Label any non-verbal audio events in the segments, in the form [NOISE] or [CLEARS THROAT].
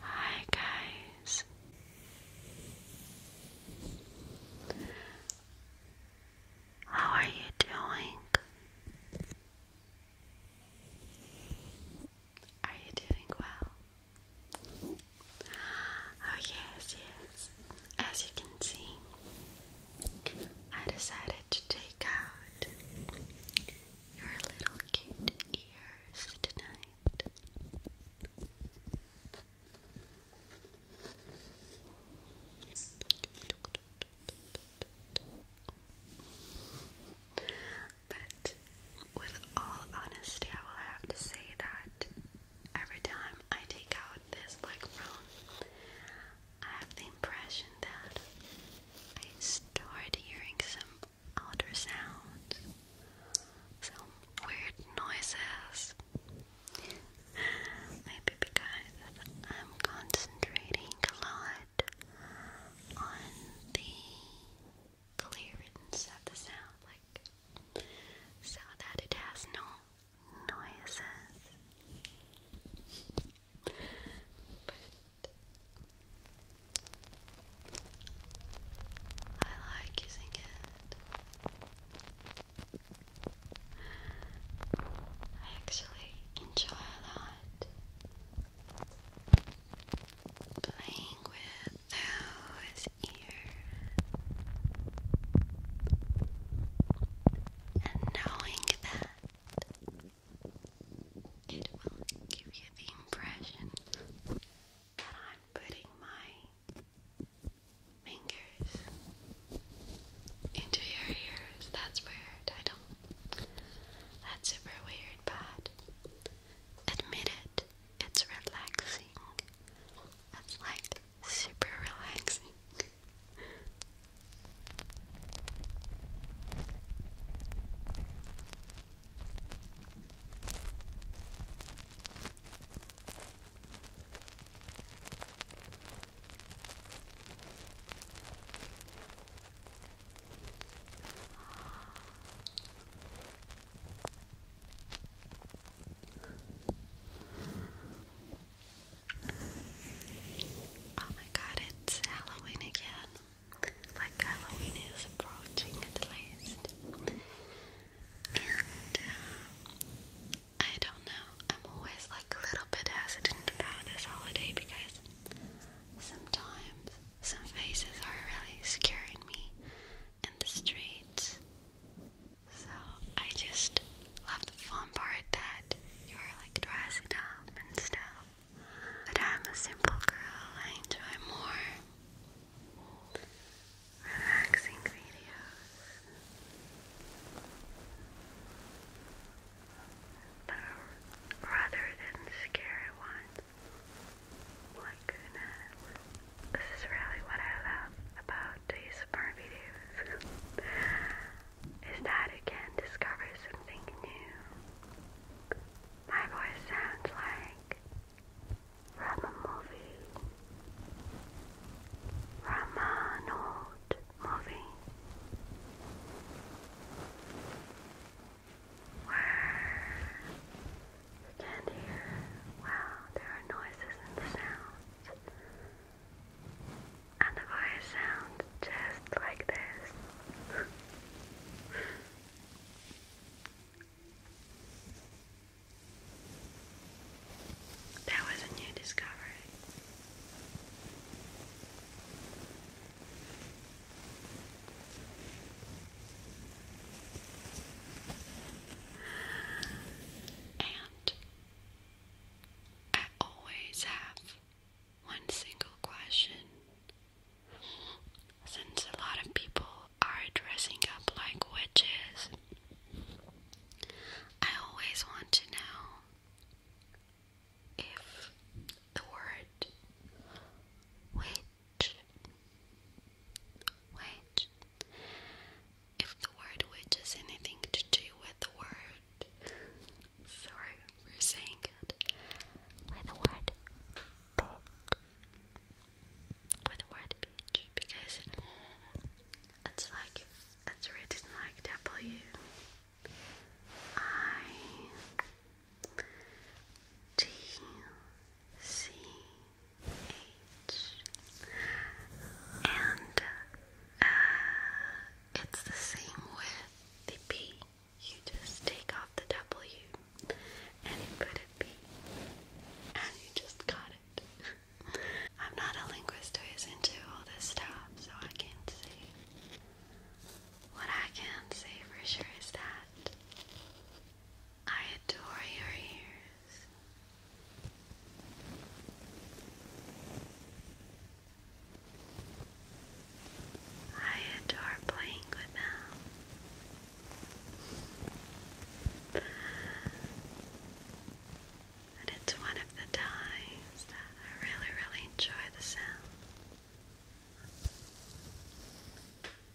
Hi, guys. How are you doing? Are you doing well? Oh, yes, yes. As you can see, I decided to take out your little cute ears tonight. But with all honesty, I will have to say that every time I take out this black I have the impression that I start hearing some outer sounds, some weird noises. Maybe because I'm concentrating a lot on the clearance of the sound, like so that it has no noises. I like using it. I actually enjoy that playing with those ears and knowing that it will give you the impression that I'm putting my fingers into your ears. That's weird. That's super weird bad. Admit it, it's relaxing. It's like super relaxing. Oh my god, it's Halloween again. Like Halloween is approaching at least. And uh, I don't know. I'm always like a little bit hesitant about this holiday because sometimes some faces are really scaring me in the streets. So I just love the fun part that you're like dressing up and stuff. But I'm a simple girl, I enjoy more relaxing videos but rather than scary ones. Like This is really what I love about these smart videos. [LAUGHS] is that you can discover something new. My voice sounds like from a movie. From an old movie you can't hear. Wow, there are noises and sounds. And the voice sounds just like this. [LAUGHS] that was a new discovery. And I always have one single question. Since a lot of people are dressing up like witches, I always want to know if the word which which if the word which has anything to do with the word sorry we're saying it with the word book with the word bitch because it's like it's written like W I T C H and uh, it's the same with the P. You just take off the W and you put a P and you just got it. [LAUGHS] I'm not a linguist who is into all this stuff, so I can't see. What I can say for sure is that I adore your ears. I adore playing with them. And it's one of the times that I really, really enjoy the sound.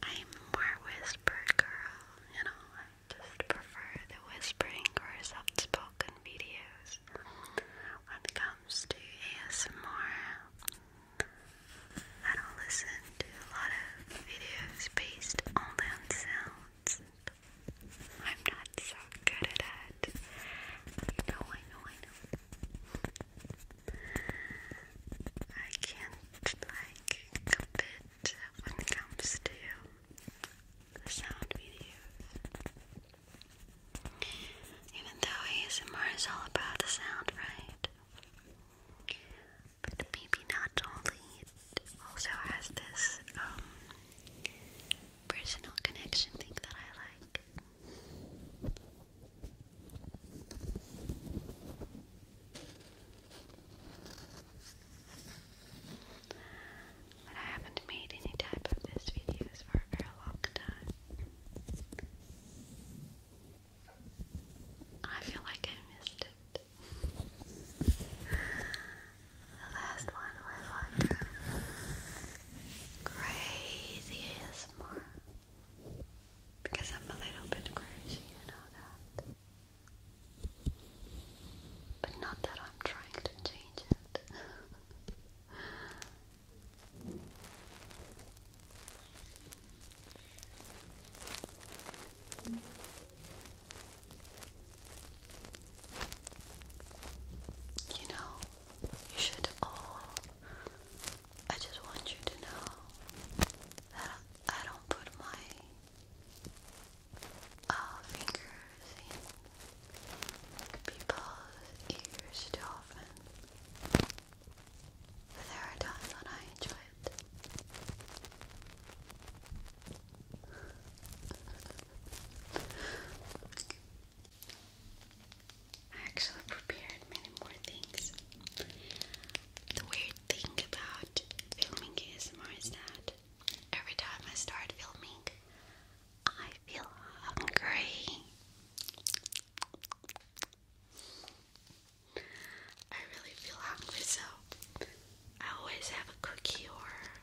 I'm more whisper girl, you know, I just prefer the whispering or soft spoken videos. When it comes to ASMR, I don't listen to a lot of videos based on sounds. I'm not so good at it that. I know, I know, I know. I can't, like, compete when it comes to the sound videos. Even though ASMR is all about the sound, right? But maybe not only, also has this um, personal connection thing that I like. But I haven't made any type of these videos for a very long time. I feel like I missed it. The last one was like crazy ASMR. Because I'm a little bit crazy, you know that. But not that I'm trying to change it. [LAUGHS] you know, you should all. I just want you to know that I don't put my uh, fingers in people's ears too often. But there are times when I enjoy it. I actually prepared many more things. The weird thing about filming ASMR is that every time I start filming, I feel hungry. I really feel hungry, so I always have a cookie or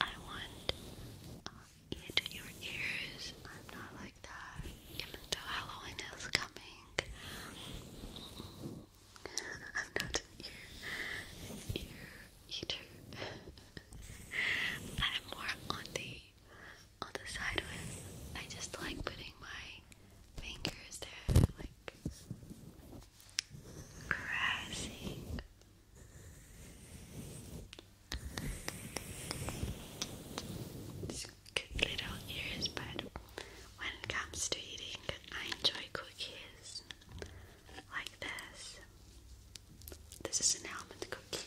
I want um, ear to ears. I'm not like that. Even though Halloween is coming, [LAUGHS] I'm not ear, ear eater. [LAUGHS] I'm more on the on the side of I just like putting my fingers there, like caressing good little ears, but when it comes to eating, I enjoy cookies like this. This is an almond cookie.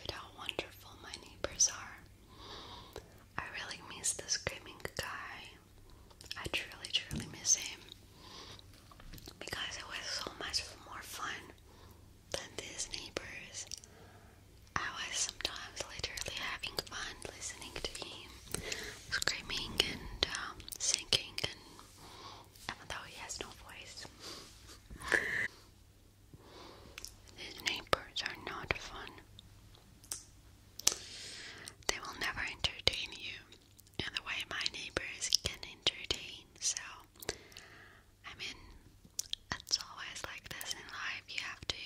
But how wonderful my neighbors are. I really miss the screaming guy. I truly, truly miss him. Because it was so much more fun than these neighbors. I was sometimes literally having fun listening to him screaming and um, singing and even he has no voice. These neighbors are not fun. They will never entertain you and the way my neighbors can entertain. So, I mean, it's always like this in life. You have to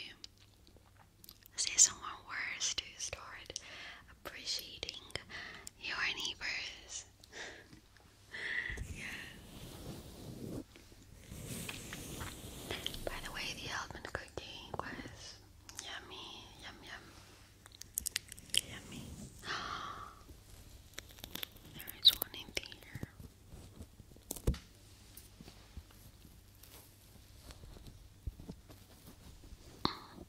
see someone worse to start appreciating your neighbors by the way, the almond cookie was yummy, yum yum, yummy. [GASPS] there is one in there. [CLEARS THROAT]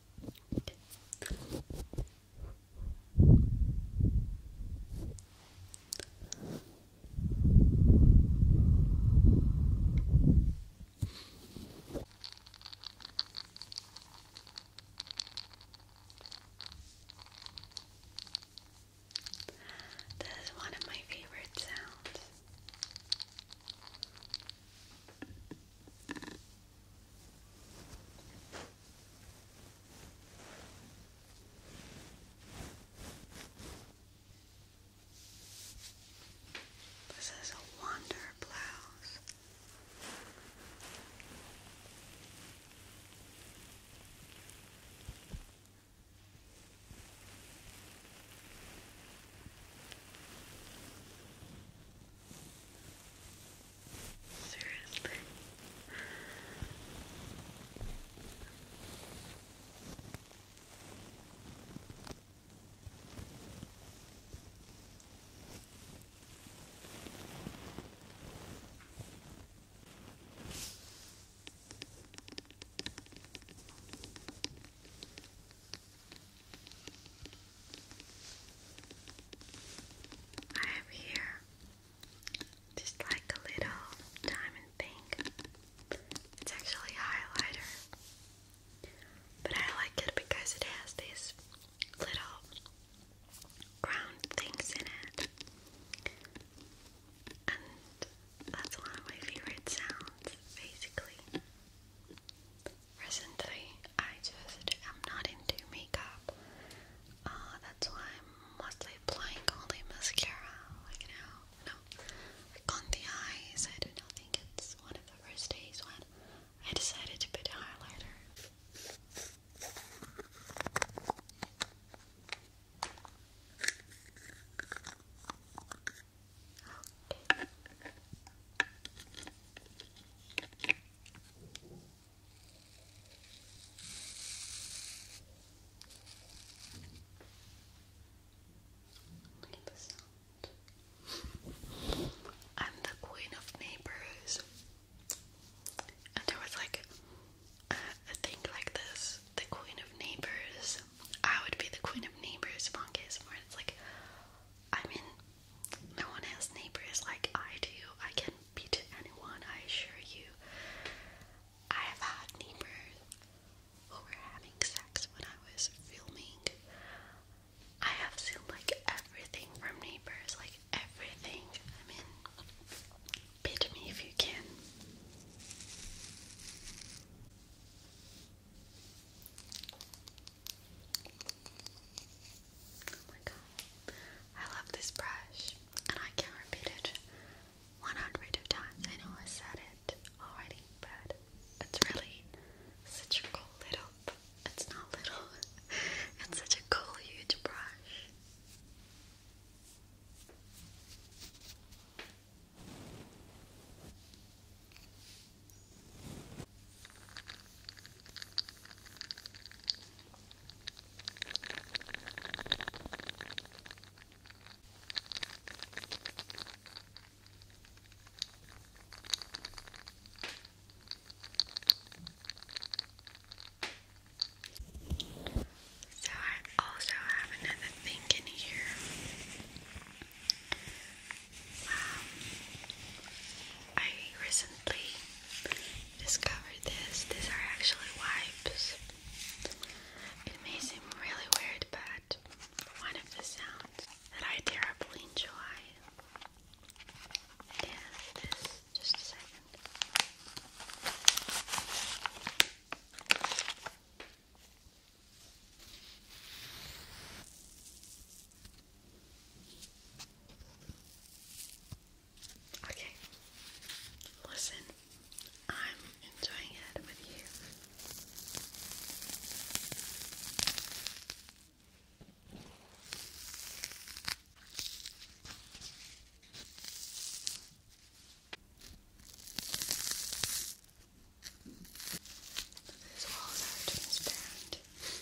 This is one of my favorite sounds. This is a wonder blouse. Seriously. I have here just like a little diamond thing. It's actually a highlighter, but I like it because it has these little round things in it, and that's one of my favorite sounds, basically recently I just am not into makeup. Uh, that's why I'm mostly applying only mascara, like you know, you know, like the eyes. I do not think it's one of the first days when I decided to put a highlighter. I'm the queen of neighbors. And there was like a, thing like this the queen of neighbors. I would be the queen of neighbors, Monk It's like, I'm no one has neighbors like I do. I can beat anyone, I assure you. I have had neighbors who were having sex when I was filming. I have seen like everything from neighbors, like everything. I mean, bid me if you can. Oh my god. I love this brush and I can repeat it 100 times. I know I said it already, but it's really such a cool little it's not little. [LAUGHS] it's such a cool huge brush. So I also have another thing in here. Um, I recently discovered this. These are actually wipes. It may seem really weird, but one of the sounds that I terribly enjoy is Just a second. Okay, listen, I'm enjoying it with you. These walls are transparent. These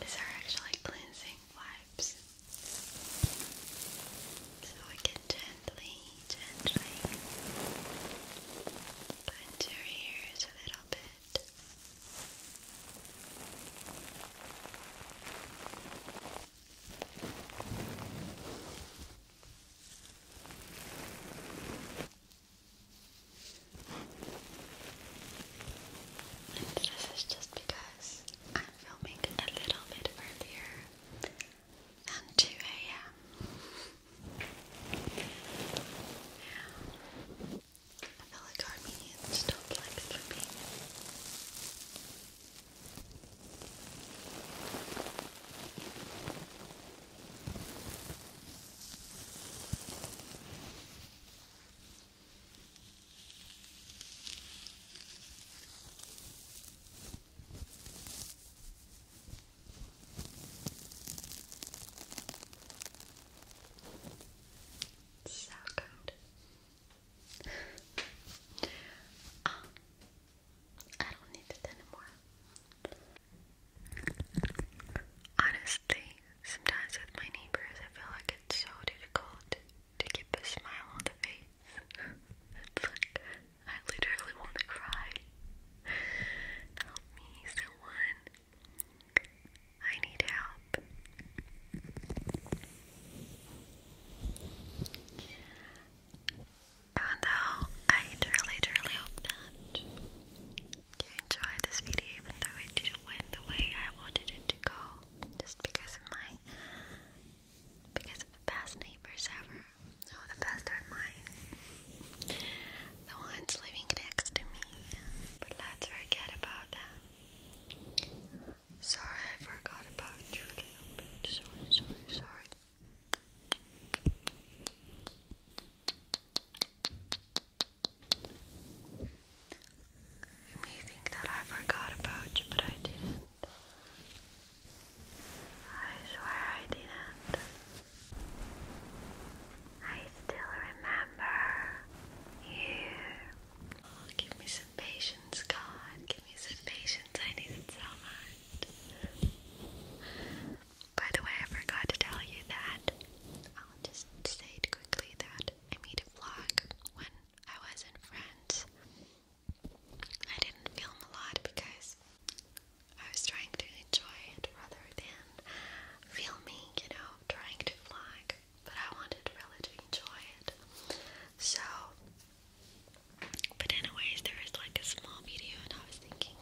These are actually cleansing wipes. So we can gently, gently Clense your ears a little bit. And this is just because I'm filming a little bit earlier and 2 a.m. I feel like Armenians stop like sleeping. So good. Ah, I don't need it anymore. Honestly, sometimes with my neighbors, I feel like it's so difficult to keep a smile on the face. [LAUGHS] I literally want to cry. Help me, someone. I need help. And though I truly, truly hope that you enjoyed this video, even though it didn't win the way I wanted it to go, just because of my because of the best neighbors ever. So oh, the best are mine. The ones living next to me. But let's forget about them. Sorry, I forgot about you Sorry, sorry, sorry. You may think that I forgot about you, but I didn't. I swear I didn't. I still remember you. give me some patience, God. Give me some patience. I need it so much. By the way, I forgot to tell you that. I'll just say it quickly that I made a vlog when I was in France I didn't film a lot because I was trying to enjoy it rather than filming, you know, trying to vlog. But I wanted really to enjoy it. So, but anyways, there is like a small video, and I was thinking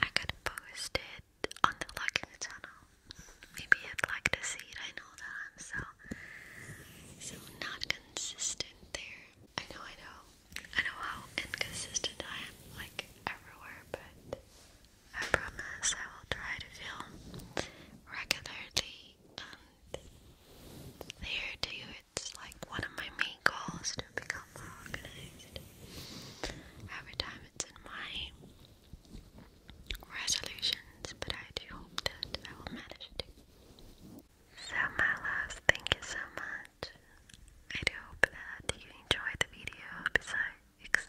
I could post it on the in the Tunnel. Maybe I'd like to see it. I know that I'm so so not consistent there. I know, I know. I know how inconsistent I am, like everywhere, but I promise I will try to film regularly and there too it's like one of my main goals to become more organized. Every time it's in my resolutions, but I do hope that I will manage to so my loves, thank you so much. I do hope that you enjoyed the video besides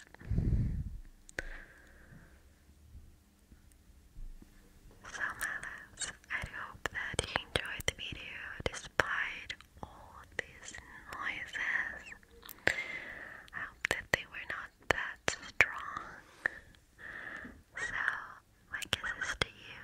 So my loves, I do hope that you enjoyed the video despite all these noises. I hope that they were not that strong. So my kisses to you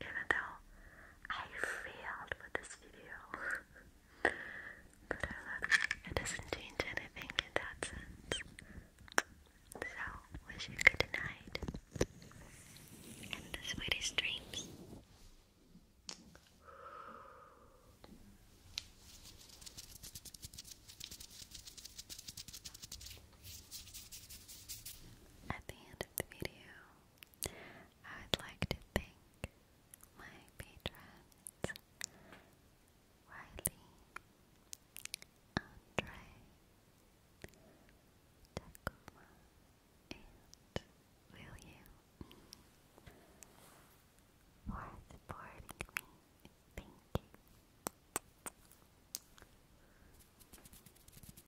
even though I failed with this video. [LAUGHS] it. doesn't change anything in that sense. So, wish you good night. And the sweetest dreams. At the end of the video, I would like to thank my patrons Riley, Andre, Takuma, and William for supporting me. Thank you.